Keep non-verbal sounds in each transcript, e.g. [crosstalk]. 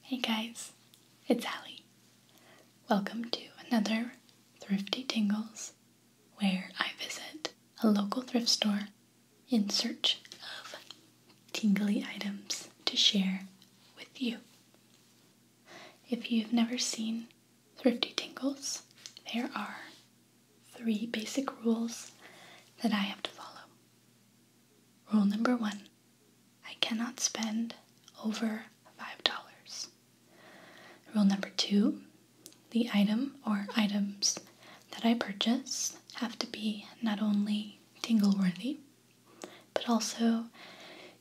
Hey guys, it's Allie. Welcome to another Thrifty Tingles where I visit a local thrift store in search of tingly items to share with you. If you've never seen Thrifty Tingles, there are three basic rules that I have to follow. Rule number one I cannot spend over $5. Rule number two the item or items that I purchase have to be not only tingle worthy, but also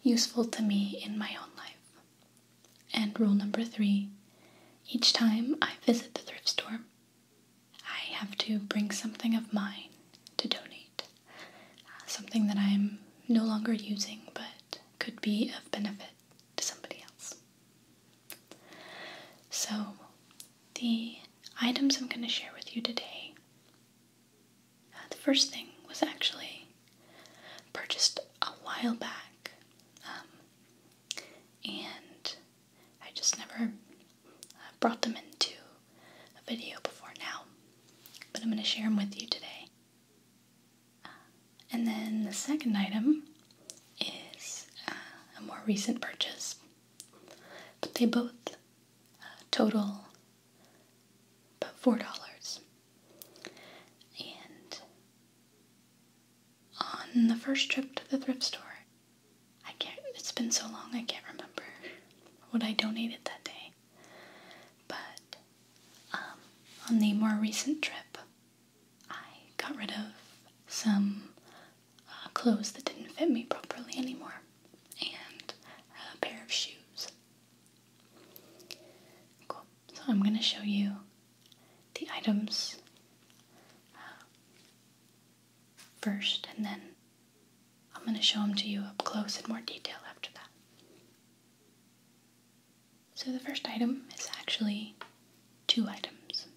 useful to me in my own life. And rule number three each time I visit the thrift store, I have to bring something of mine to donate. Uh, something that I'm no longer using but could be of benefit to somebody else. So, the items I'm going to share with you today the first thing was actually purchased a while back, um, and I just never uh, brought them into a video before now, but I'm going to share them with you today. Uh, and then the second item is uh, a more recent purchase, but they both total but $4. And on the first trip to the thrift store, I can't, it's been so long I can't remember what I donated that day. But um, on the more recent trip, I got rid of some uh, clothes that didn't fit me properly anymore and a pair of shoes Cool. So I'm going to show you the items uh, first, and then I'm going to show them to you up close in more detail after that. So the first item is actually two items,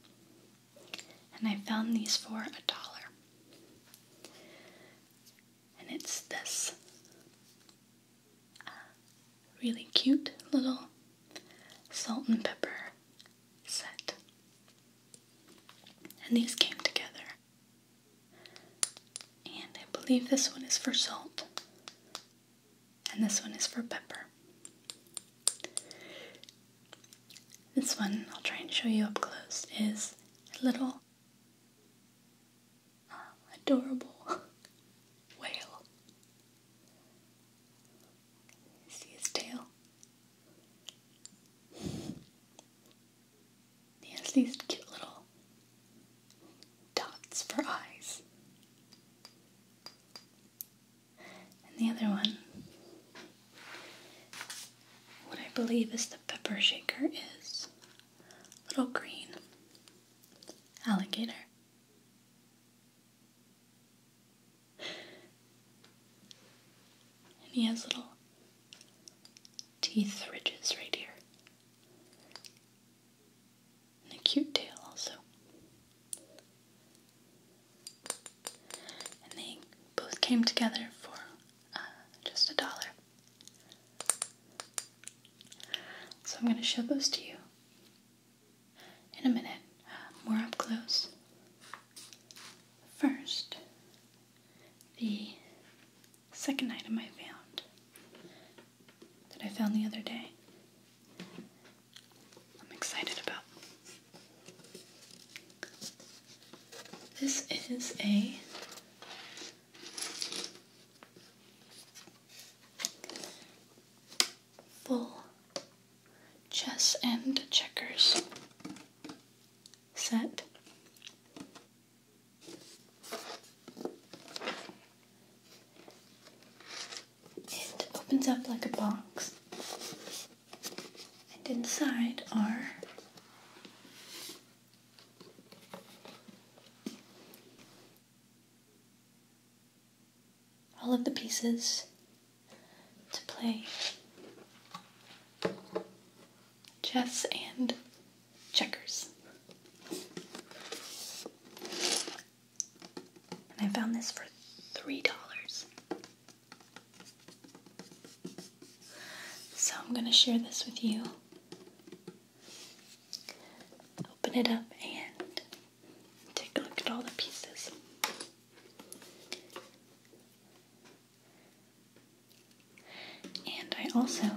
and I found these for a dollar and it's this uh, really cute little salt and pepper set. And these came together. And I believe this one is for salt, and this one is for pepper. This one, I'll try and show you up close, is a little adorable whale. See his tail? He has these cute little dots for eyes. And the other one, what I believe is the pepper shaker, is little green Alligator. And he has little teeth ridges right here. And a cute tail also. And they both came together for uh, just a dollar. So I'm going to show those to you in a minute, more up close. First, the second item I found that I found the other day. I'm excited about. This is a Full chess and checkers set. It opens up like a box, and inside are all of the pieces to play chess and checkers. And I found this for $3. So I'm going to share this with you Open it up and take a look at all the pieces. And I also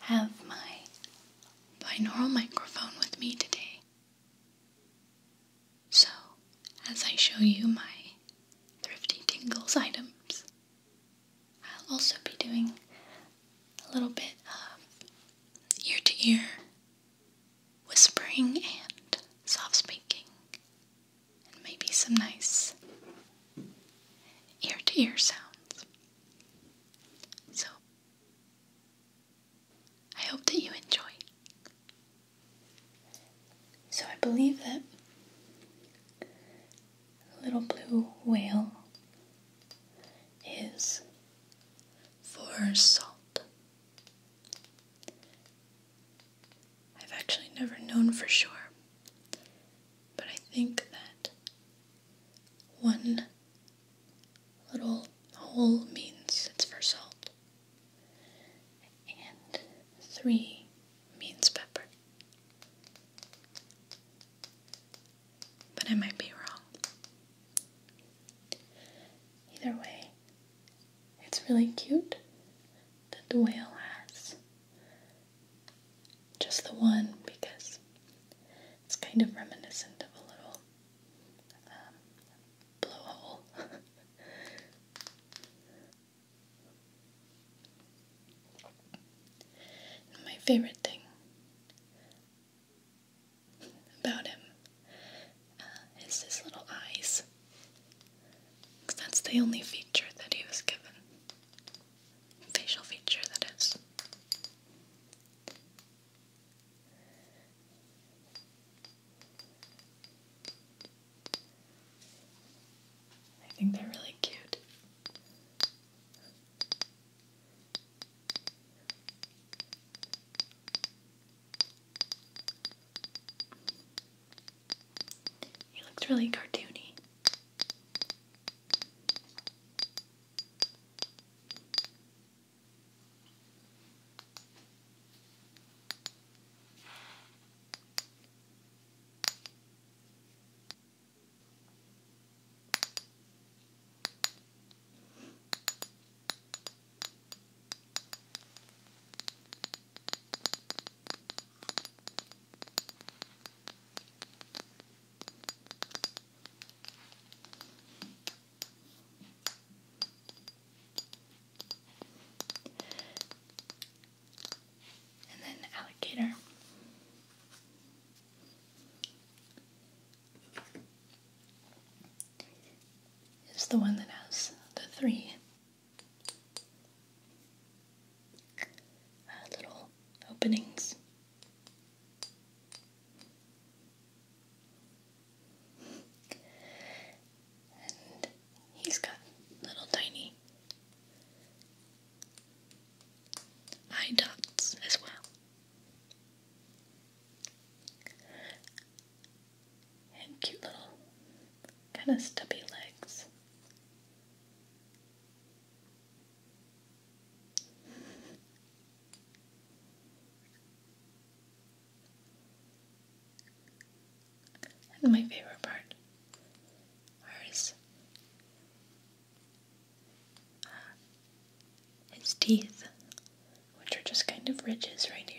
have my binaural microphone with me today. So, as I show you my thrifty tingles items, I'll also be doing a little bit of ear to ear whispering and soft speaking, and maybe some nice ear to ear sounds. So, I hope that you enjoy. So, I believe that the little blue whale is for salt. I've actually never known for sure, but I think that one little hole means it's for salt, and three means pepper but I might be wrong. Either way, it's really cute that the whale has just the one because it's kind of reminiscent of a little um, blowhole. [laughs] my favorite thing about him uh, is his little eyes. Cause that's the only feature that he was given. Facial feature, that is. I think they're really cute. He looks really cartoony. And then alligator is the one that has the three uh, little openings. And he's got little tiny eye dots as well. And cute little kind of stubby legs. And my favorite part are his teeth, which are just kind of ridges right here.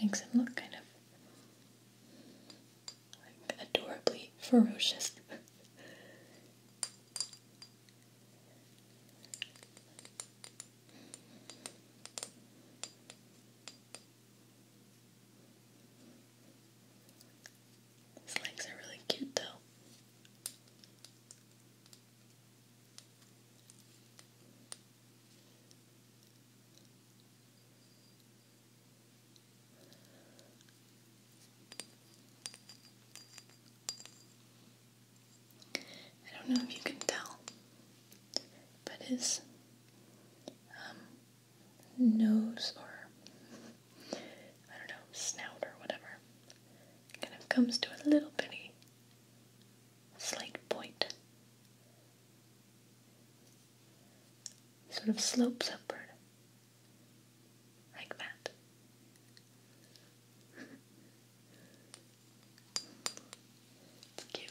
Makes him look kind of adorably ferocious. His legs are really cute though. I don't know if you can tell, but his um, nose or I don't know, snout or whatever, kind of comes to a little bitty slight point. Sort of slopes upward. Like that. it's [laughs] cute.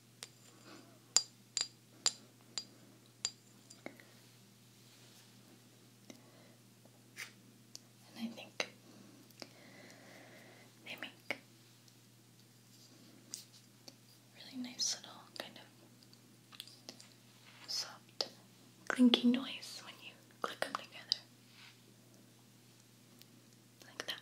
And I think they make really nice little kind of soft clinky noise when you click them together. Like that.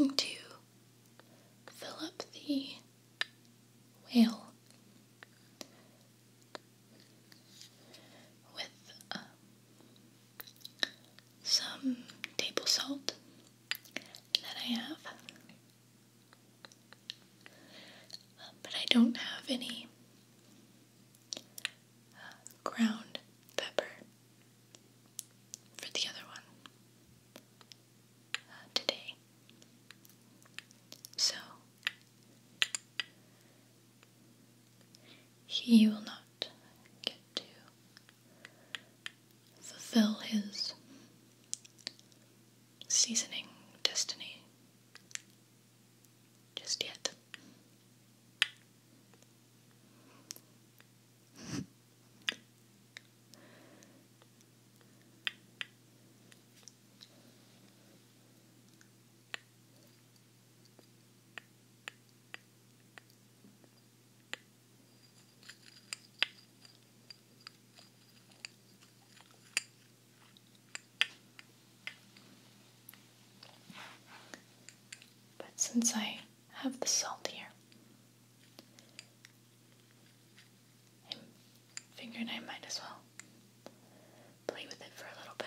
I'm going to fill up the whale with uh, some table salt that I have. Uh, but I don't have any uh, ground pepper for the other one today. So, he will not get to fulfill his seasoning destiny just yet. But since I have the salt here, I figured I might as well play with it for a little bit.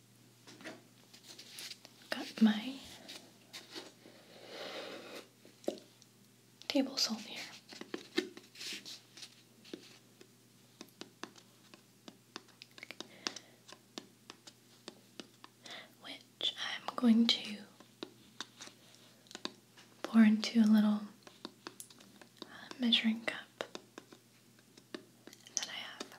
Got my table salt here. Which I'm going to pour into a little uh, measuring cup that I have.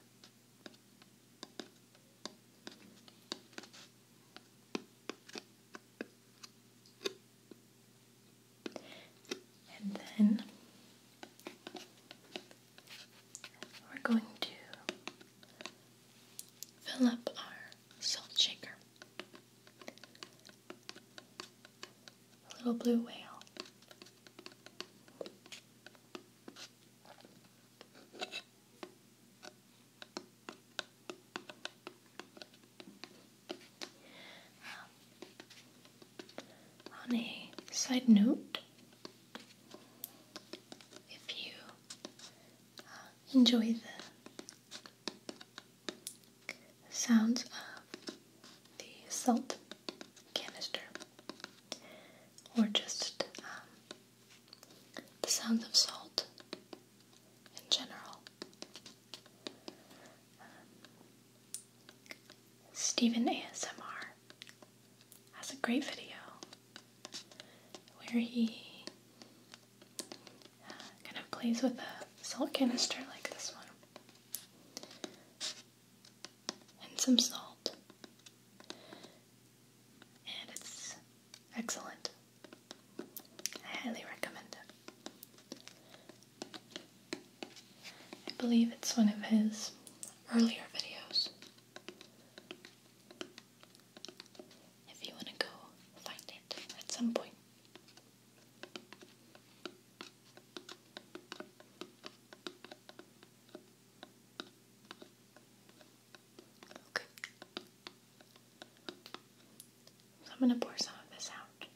And then we're going to fill up our salt shaker. little blue whale. On side note, if you uh, enjoy the sounds of the salt canister or just um, the sound of salt in general. Um, Stephen ASMR has a great video where he uh, kind of plays with a salt canister like this one and some salt and it's excellent. I highly recommend it. I believe it's one of his earlier videos. If you want to go find it at some point. Okay. I'm going to pour some of this out.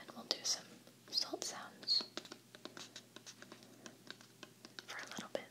And we'll do some salt sounds for a little bit.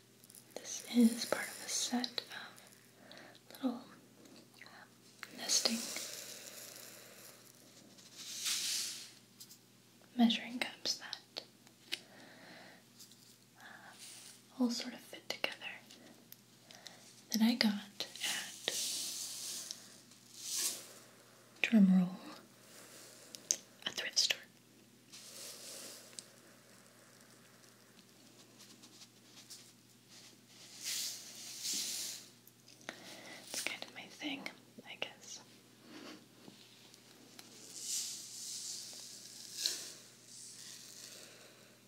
This is part of a set of little um, nesting measuring cups that uh, all sort of fit together that I got at drumroll a thrift store. It's kind of my thing, I guess.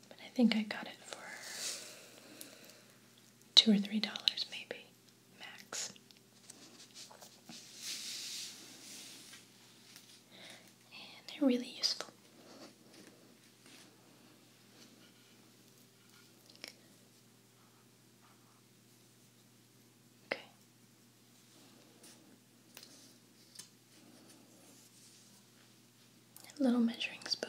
But I think I got it for two or three dollars, maybe, max and they're really useful. Okay. little measuring spoon.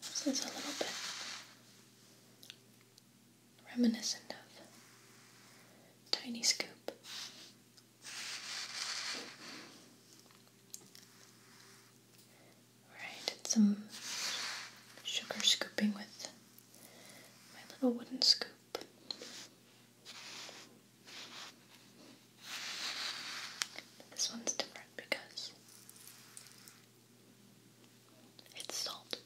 This is a little bit reminiscent of Tiny Scoop. I did some sugar scooping with my little wooden scoop. this one's different because it's salt.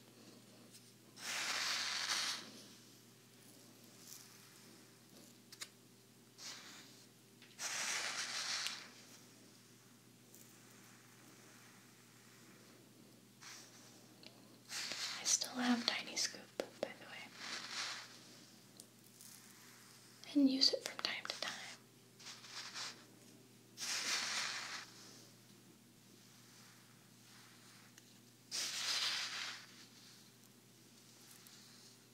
I still have Tiny Scoop, by the way, and use it from time to time.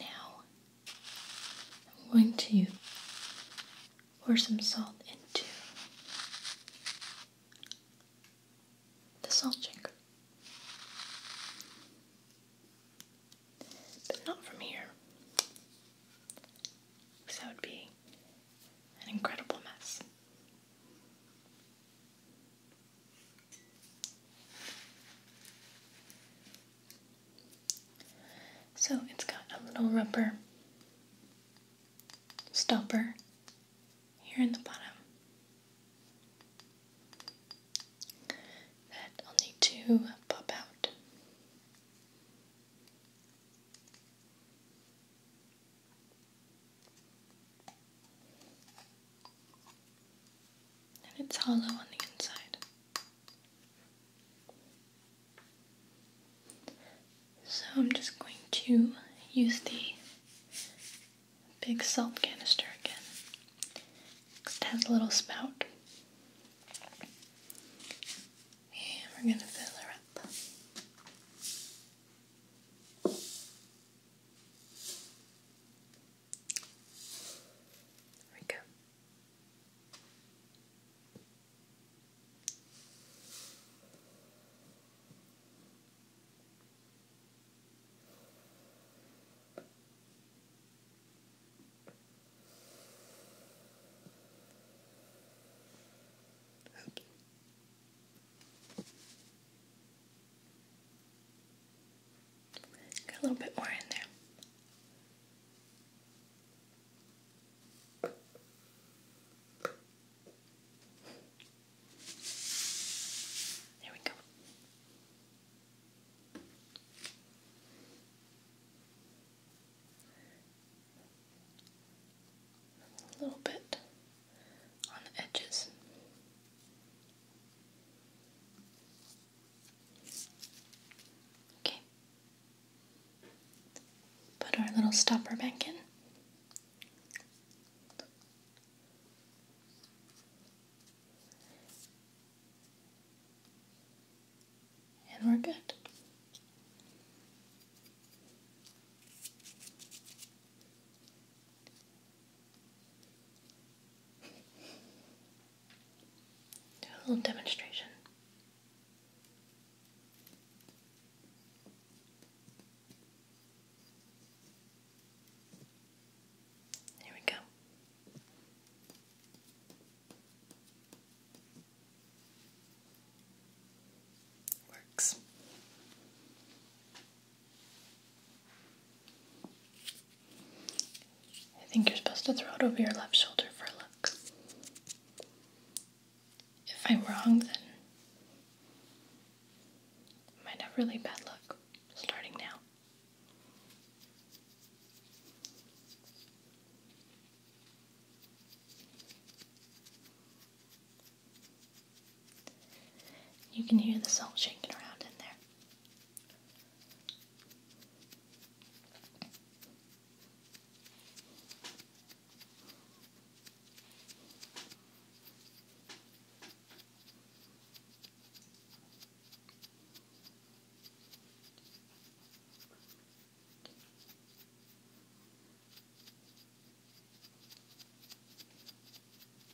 now, I'm going to pour some salt into the salt shaker. But not from here, because that would be an incredible mess. So it's got a little rubber stopper here in the bottom that I'll need to pop out. And it's hollow on the inside. So I'm just going to use the big salt canister again. It has a little spout. And we're going to fill her up. There we go. Oops a little bit more in there. There we go. A little bit on the edges. Okay. Put our little stopper back in. And we're good. Do a little demonstration. Here we go. Works. I think you're supposed to throw it over your left shoulder for a look. If I'm wrong, then I have really bad luck starting now. You can hear the salt shaking around in there.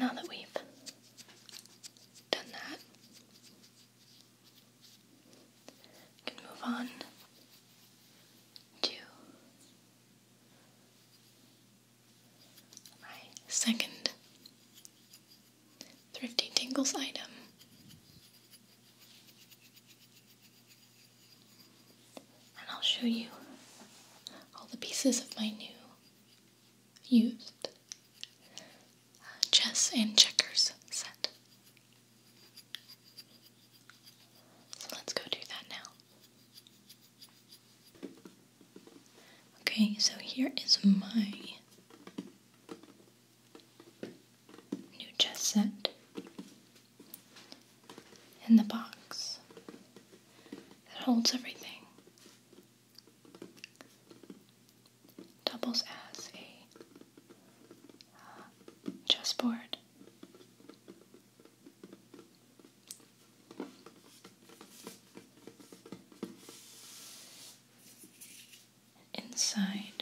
Now that we've done that, can move on to my second Thrifty Tingles item. And I'll show you all the pieces of my new used uh, chess and checkers set. So let's go do that now. Okay, so here is my new chess set in the box that holds everything doubles as a uh, chessboard inside.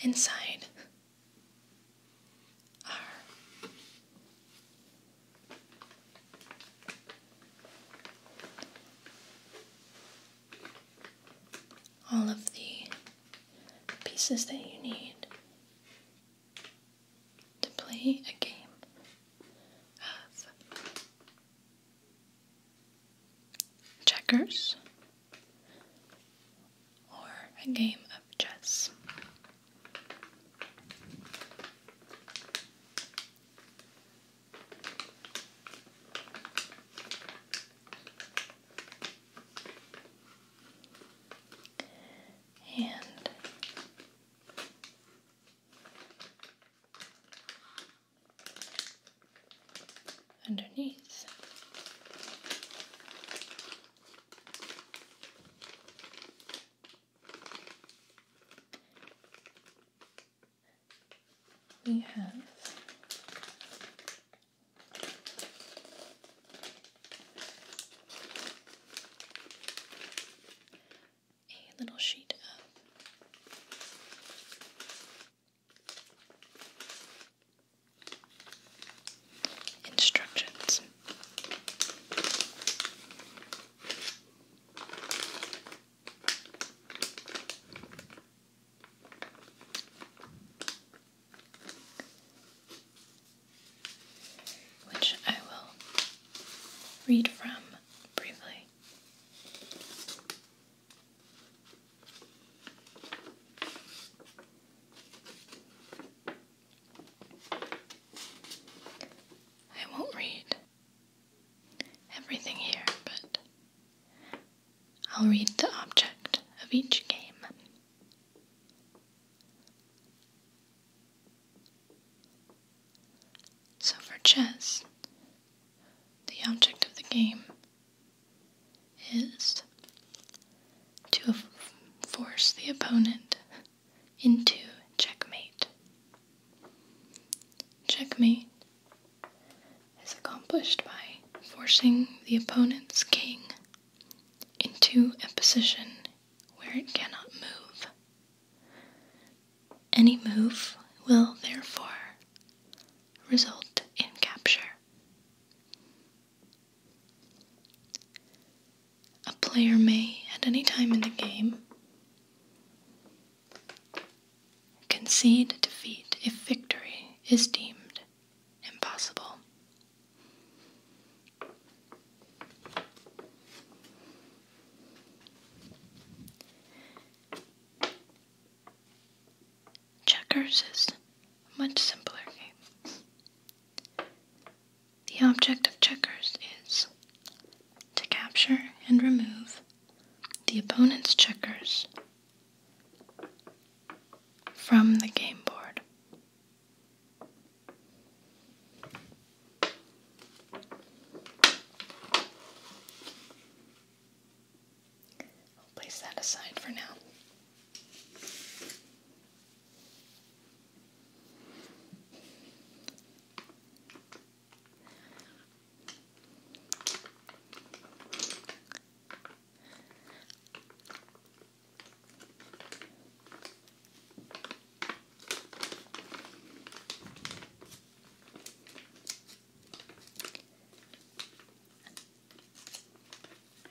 Inside are all of the pieces that you need to play a game of checkers or a game of chess. And underneath we have a little sheet of instructions which I will read from briefly. I won't read everything here, but I'll read the object of each game. So for chess, the object of the game is to force the opponent into checkmate. Checkmate is accomplished by forcing the opponent's king into a position where it cannot move. Any move will therefore result in capture. A player may, at any time in the game, Concede defeat if victory is deemed impossible. Checkers is a much simpler game. The object of checkers is to capture and remove the opponent's checkers from the game board. place that aside for now.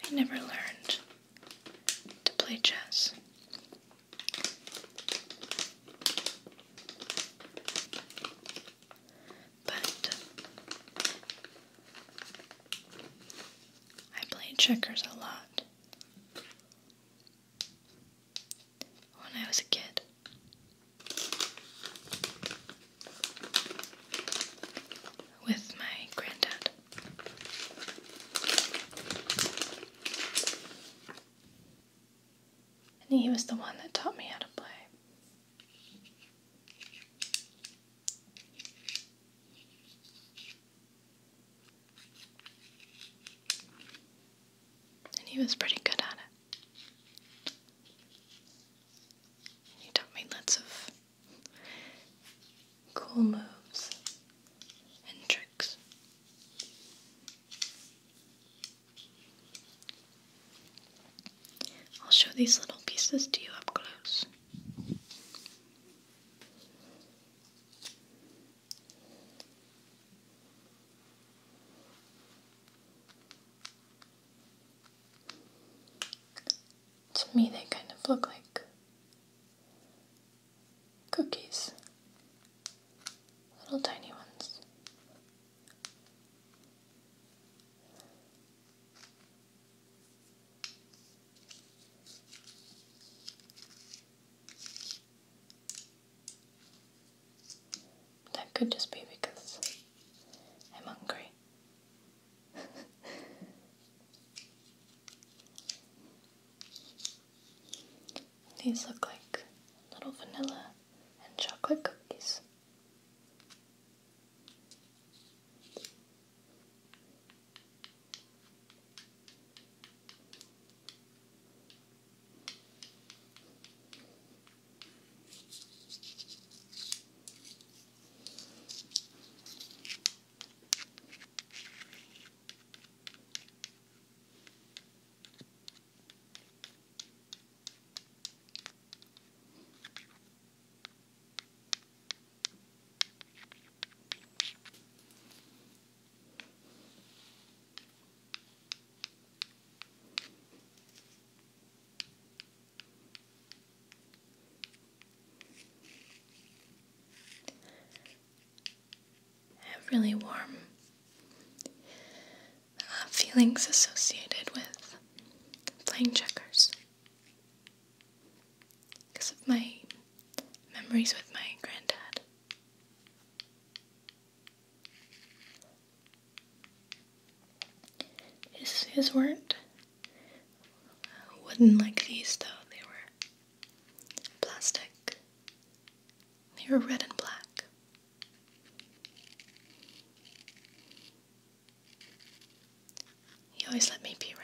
I never learned to play chess. But uh, I played checkers a lot when I was a kid. With my granddad. And he was the one that taught me how to play. And he was pretty good at it. He taught me lots of cool moves and tricks. I'll show these little pieces to you up close. To me, they kind of look like cookies, little tiny ones. That could just be because I'm hungry. These look like little vanilla and chocolate cookies really warm feelings associated with playing checkers because of my memories with my granddad. His, his weren't Wouldn't like these, though. They were plastic. They were red and black. You always let me be red.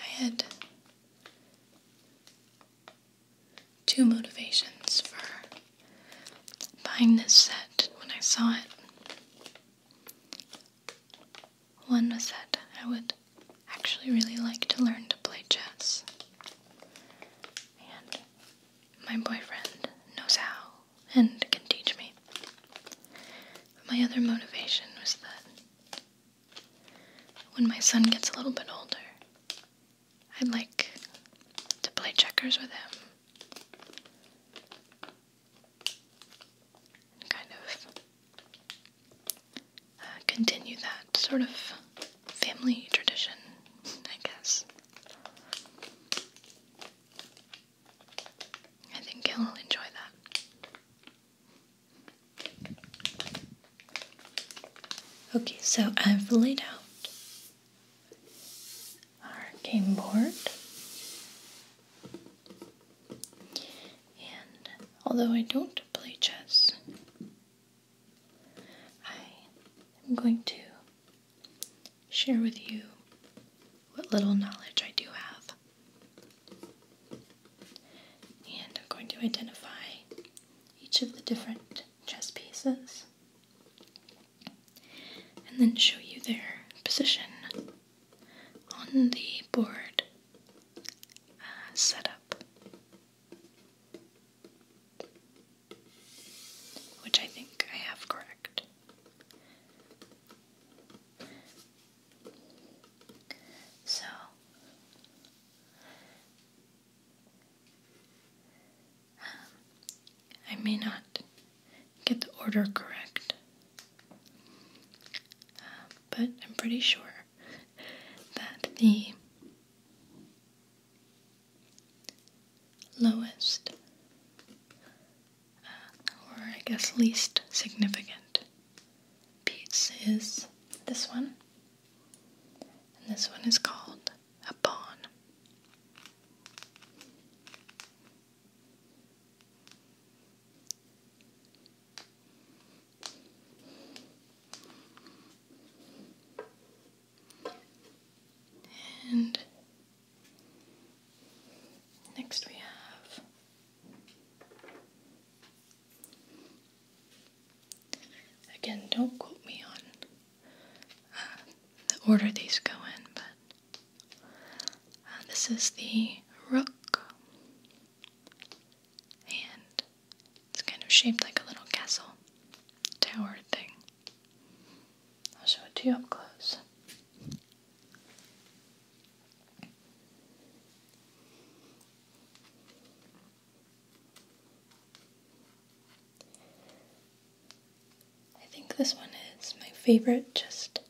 I had two motivations for buying this set when I saw it. One was that I would actually really like to learn to play chess and my boyfriend knows how and can teach me. My other motivation was that when my son gets a little bit older, I'd like to play checkers with him. Kind of uh, continue that sort of family tradition, I guess. I think he'll enjoy that. Okay, so I've laid out our game board. And although I don't play chess, I am going to share with you what little knowledge I do have. And I'm going to identify each of the different chess pieces and then show you their position on the board uh, setup which I think I have correct. So um, I may not get the order correct, um, but I'm pretty sure that the lowest, uh, or I guess least significant piece is this one. And this one is called a pawn. And next we have again, don't quote me on uh, the order these go in, but uh, this is the rook and it's kind of shaped like a little castle tower thing. I'll show it to you up close. I think this one is my favorite, just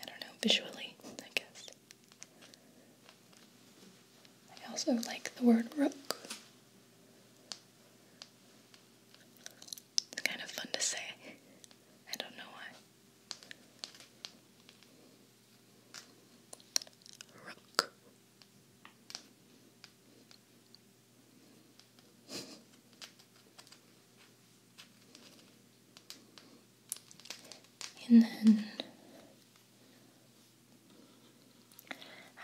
I don't know, visually, I guess. I also like the word rook. It's kind of fun to say. I don't know why. Rook. [laughs] And then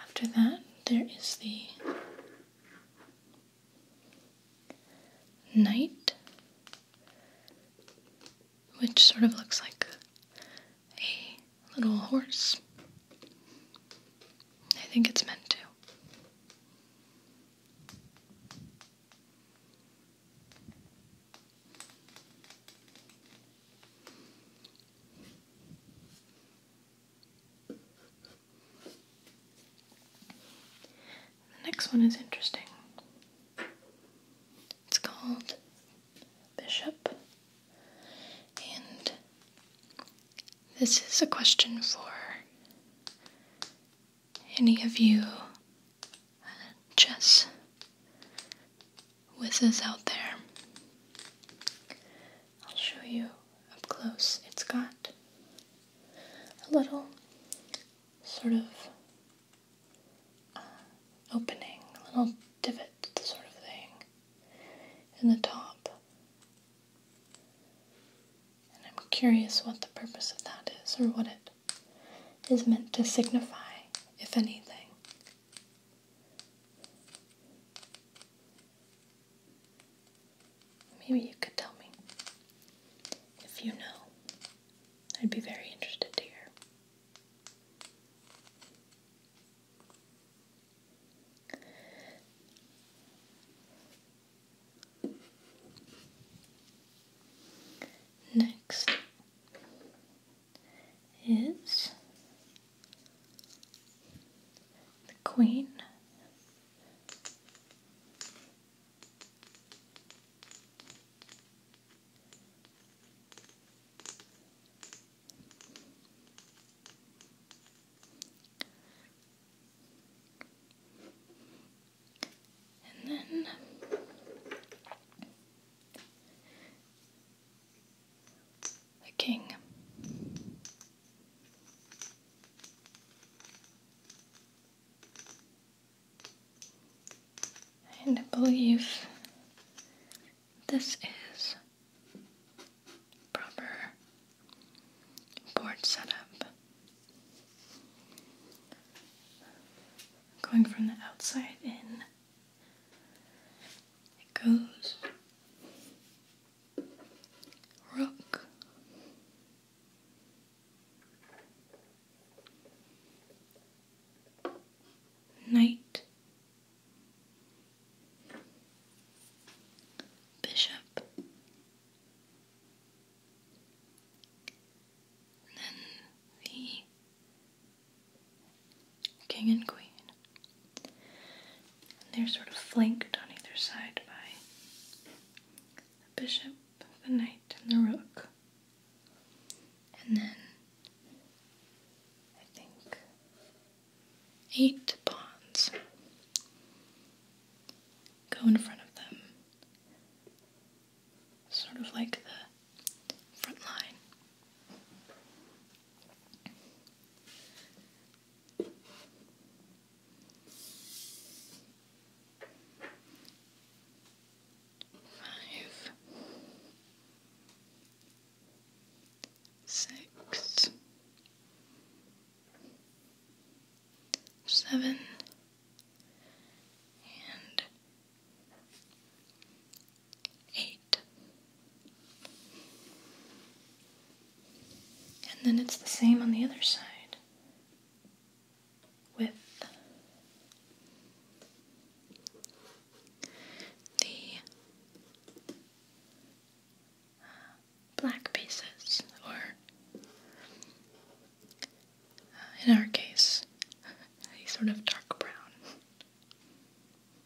after that, there is the knight, which sort of looks like a little horse. I think it's meant to. The next one is interesting. It's called Bishop, and this is a question for any of you uh, chess whizzes out there. I'll show you up close. It's got a little sort of uh, opening, a little divot sort of thing in the top. And I'm curious what the purpose of that is or what it is meant to signify, if anything. Maybe you could tell me. If you know, I'd be very interested to hear. Next, is the Queen. And then the king. And I believe this is proper board setup. Going from the outside in. It goes rook, knight, bishop, then the king and queen. And they're sort of flanked on either side by the bishop, the knight, and the rook. And then I think eight pawns go in front of them, sort of like the front line. Five, six, seven, and eight. And then it's the same on the other side with the uh, black pieces, or uh, in our case, [laughs] a sort of dark brown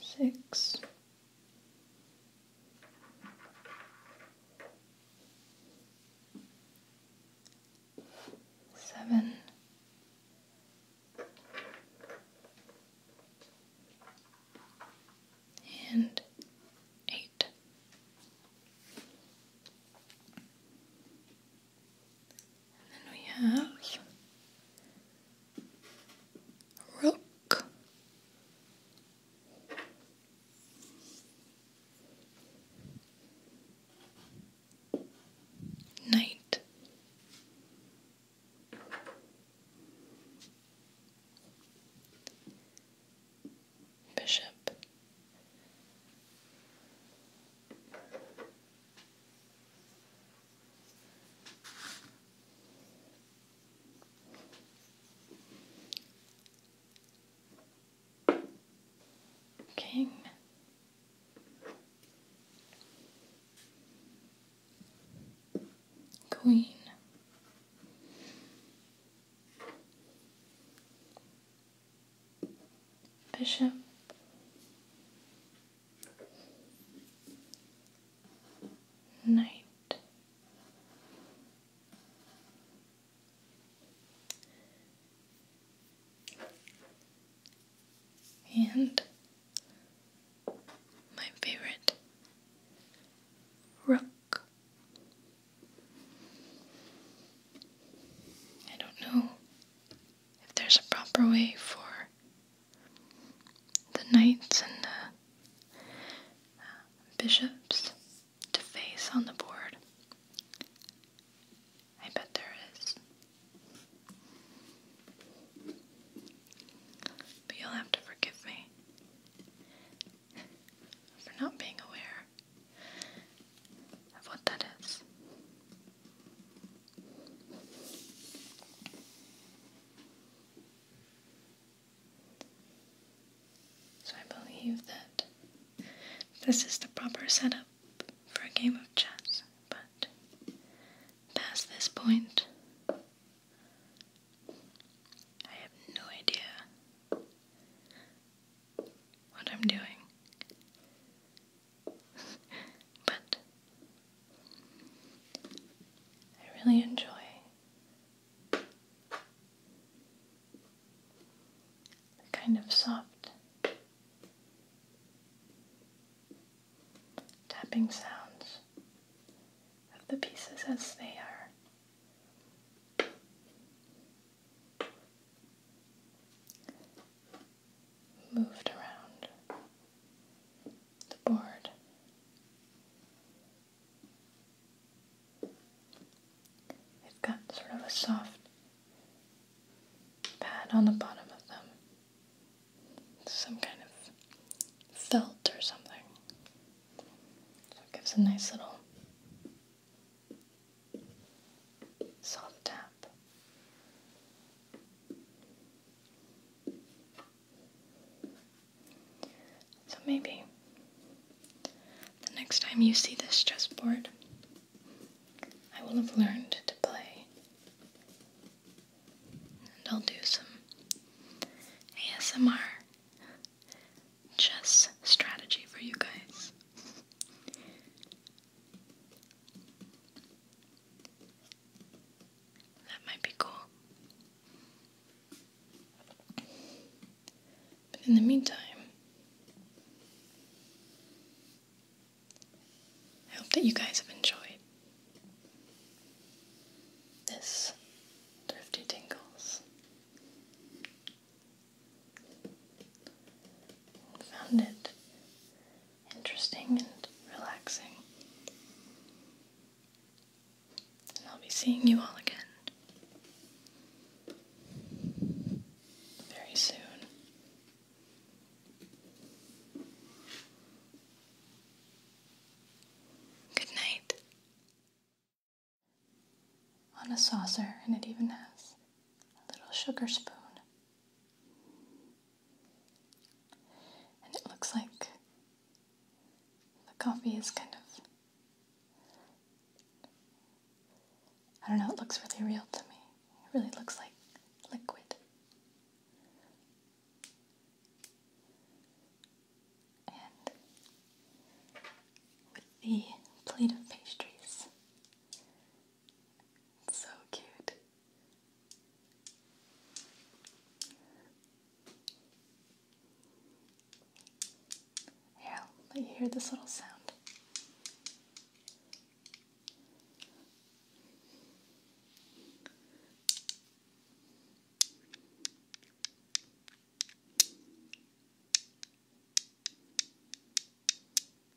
six, seven, and eight. And then we have rook. Knight. Bishop. King. Queen bishop, knight, and my favorite rook. I don't know if there's a proper way for the knights and the uh, bishops to face on the board. I bet there is. But you'll have to forgive me for not being aware what that is. So I believe that this is the proper setup for a game of chess, but past this point, I have no idea what I'm doing. [laughs] but I really enjoy the kind of soft tapping sounds of the pieces as they are moved around the board. They've got sort of a soft pad on the bottom of them, some kind of felt or something. So it gives a nice little salt tap. So maybe the next time you see this chess board, I will have learned to play. And I'll do some ASMR chess strategy for you guys. That might be cool. But in the meantime, I hope that you guys have enjoyed this Thrifty Tingles found it interesting and relaxing. And I'll be seeing you all again very soon. Good night. On a saucer, and it even has a little sugar spoon. And it looks like the coffee is kind of, I don't know, it looks really real to me. It really looks like liquid. And with the plate of pastries, so cute. Here, i let you hear this little sound.